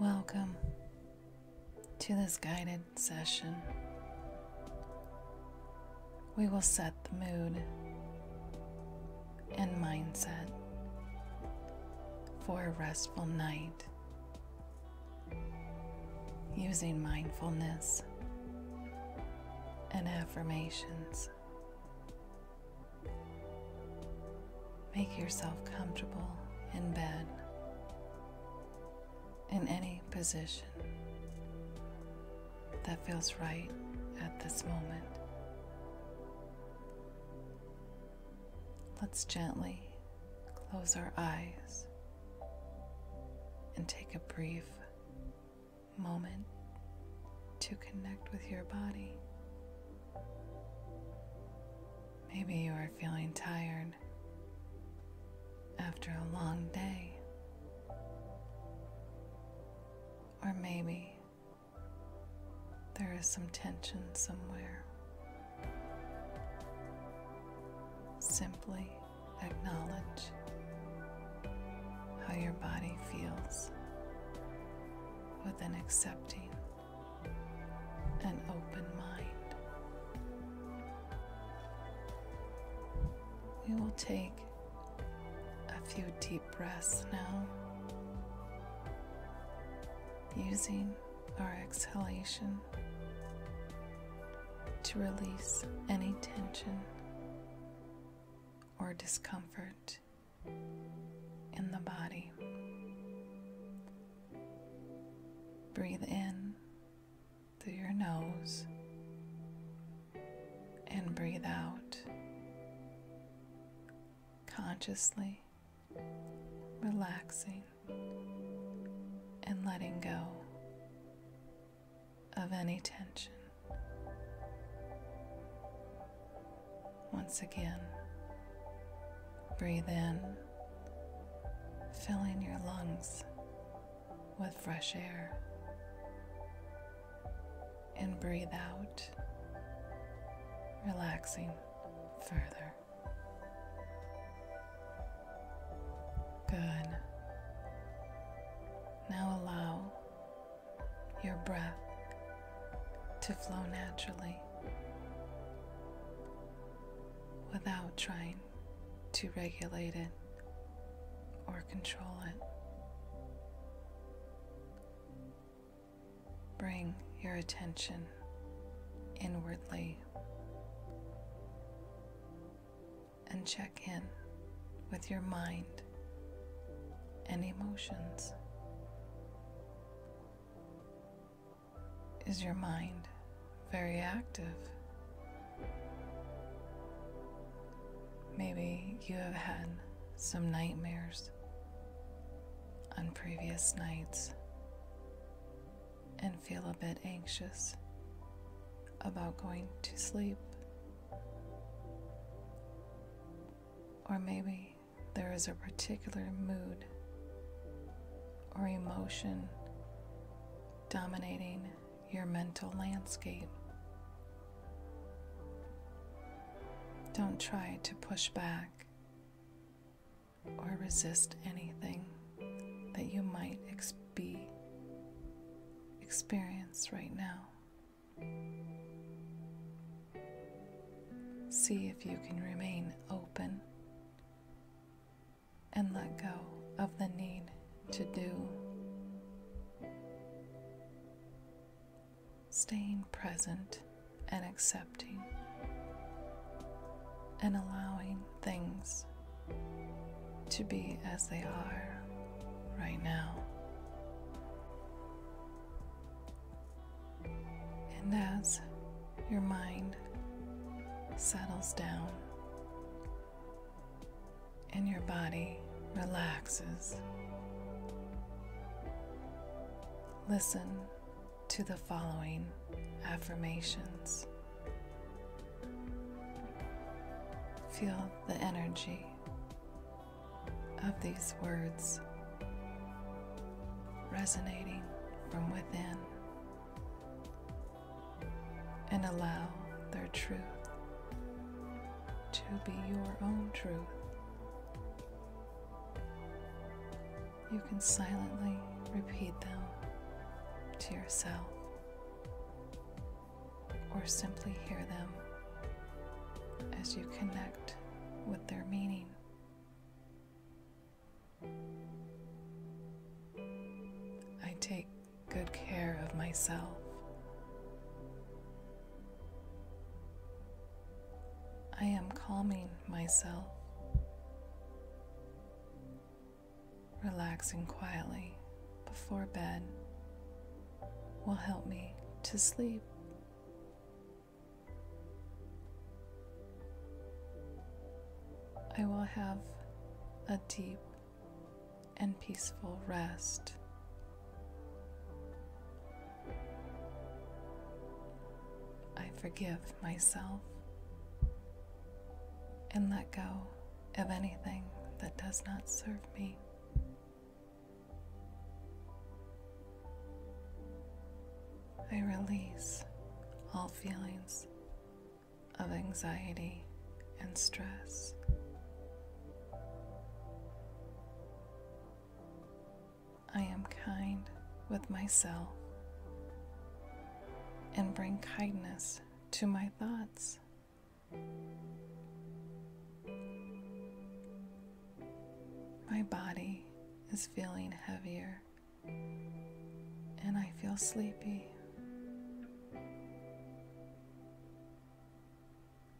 Welcome to this guided session. We will set the mood and mindset for a restful night using mindfulness and affirmations. Make yourself comfortable in bed, in any position that feels right at this moment. Let's gently close our eyes and take a brief moment to connect with your body. Maybe you are feeling tired after a long day. Or maybe there is some tension somewhere. Simply acknowledge how your body feels with an accepting and open mind. We will take a few deep breaths now, using our exhalation to release any tension or discomfort. In the body. Breathe in through your nose and breathe out consciously relaxing and letting go of any tension. Once again, breathe in, filling your lungs with fresh air, and breathe out, relaxing further. Good. Now allow your breath to flow naturally without trying to regulate it or control it. Bring your attention inwardly and check in with your mind and emotions. Is your mind very active? Maybe you have had some nightmares on previous nights and feel a bit anxious about going to sleep. Or maybe there is a particular mood or emotion dominating your mental landscape. Don't try to push back or resist anything that you might be experience right now. See if you can remain open and let go of the need to do. Staying present and accepting and allowing things to be as they are right now. And as your mind settles down and your body relaxes, listen to the following affirmations. Feel the energy of these words resonating from within and allow their truth to be your own truth. You can silently repeat them to yourself or simply hear them as you connect with their meaning. I take good care of myself. I am calming myself, relaxing quietly before bed will help me to sleep I will have a deep and peaceful rest. I forgive myself and let go of anything that does not serve me. I release all feelings of anxiety and stress. I am kind with myself and bring kindness to my thoughts. My body is feeling heavier and I feel sleepy.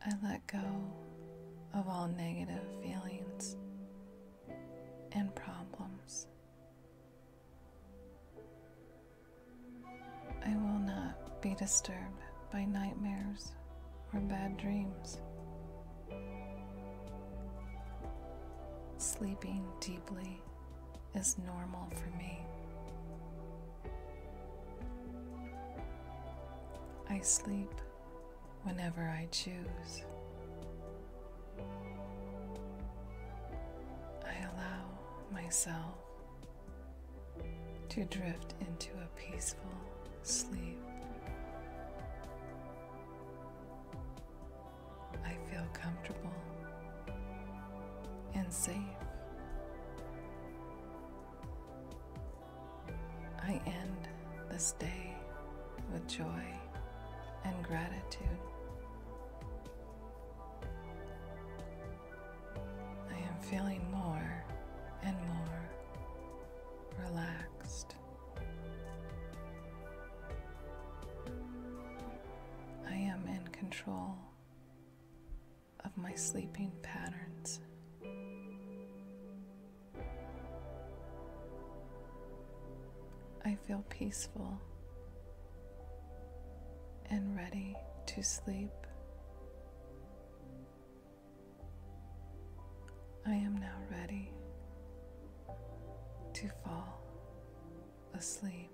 I let go of all negative feelings and problems. I will not be disturbed by nightmares or bad dreams. Sleeping deeply is normal for me. I sleep whenever I choose. I allow myself to drift into a peaceful sleep. I feel comfortable and safe. I end this day with joy and gratitude. I am feeling more and more relaxed. I am in control of my sleeping patterns. I feel peaceful and ready to sleep I am now ready to fall asleep.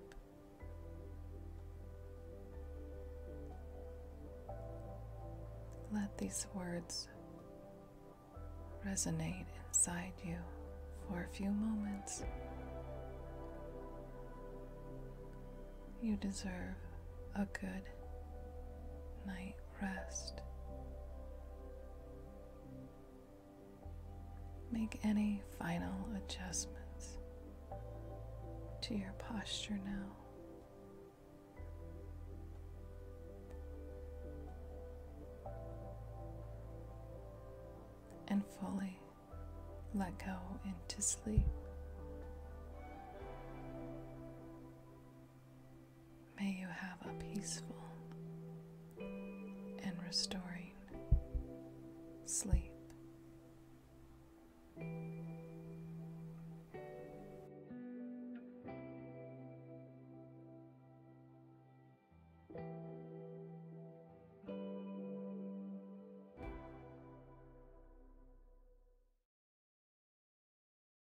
Let these words resonate inside you for a few moments. You deserve a good night rest. Make any final adjustments to your posture now. And fully let go into sleep. May you have a peaceful and restoring sleep.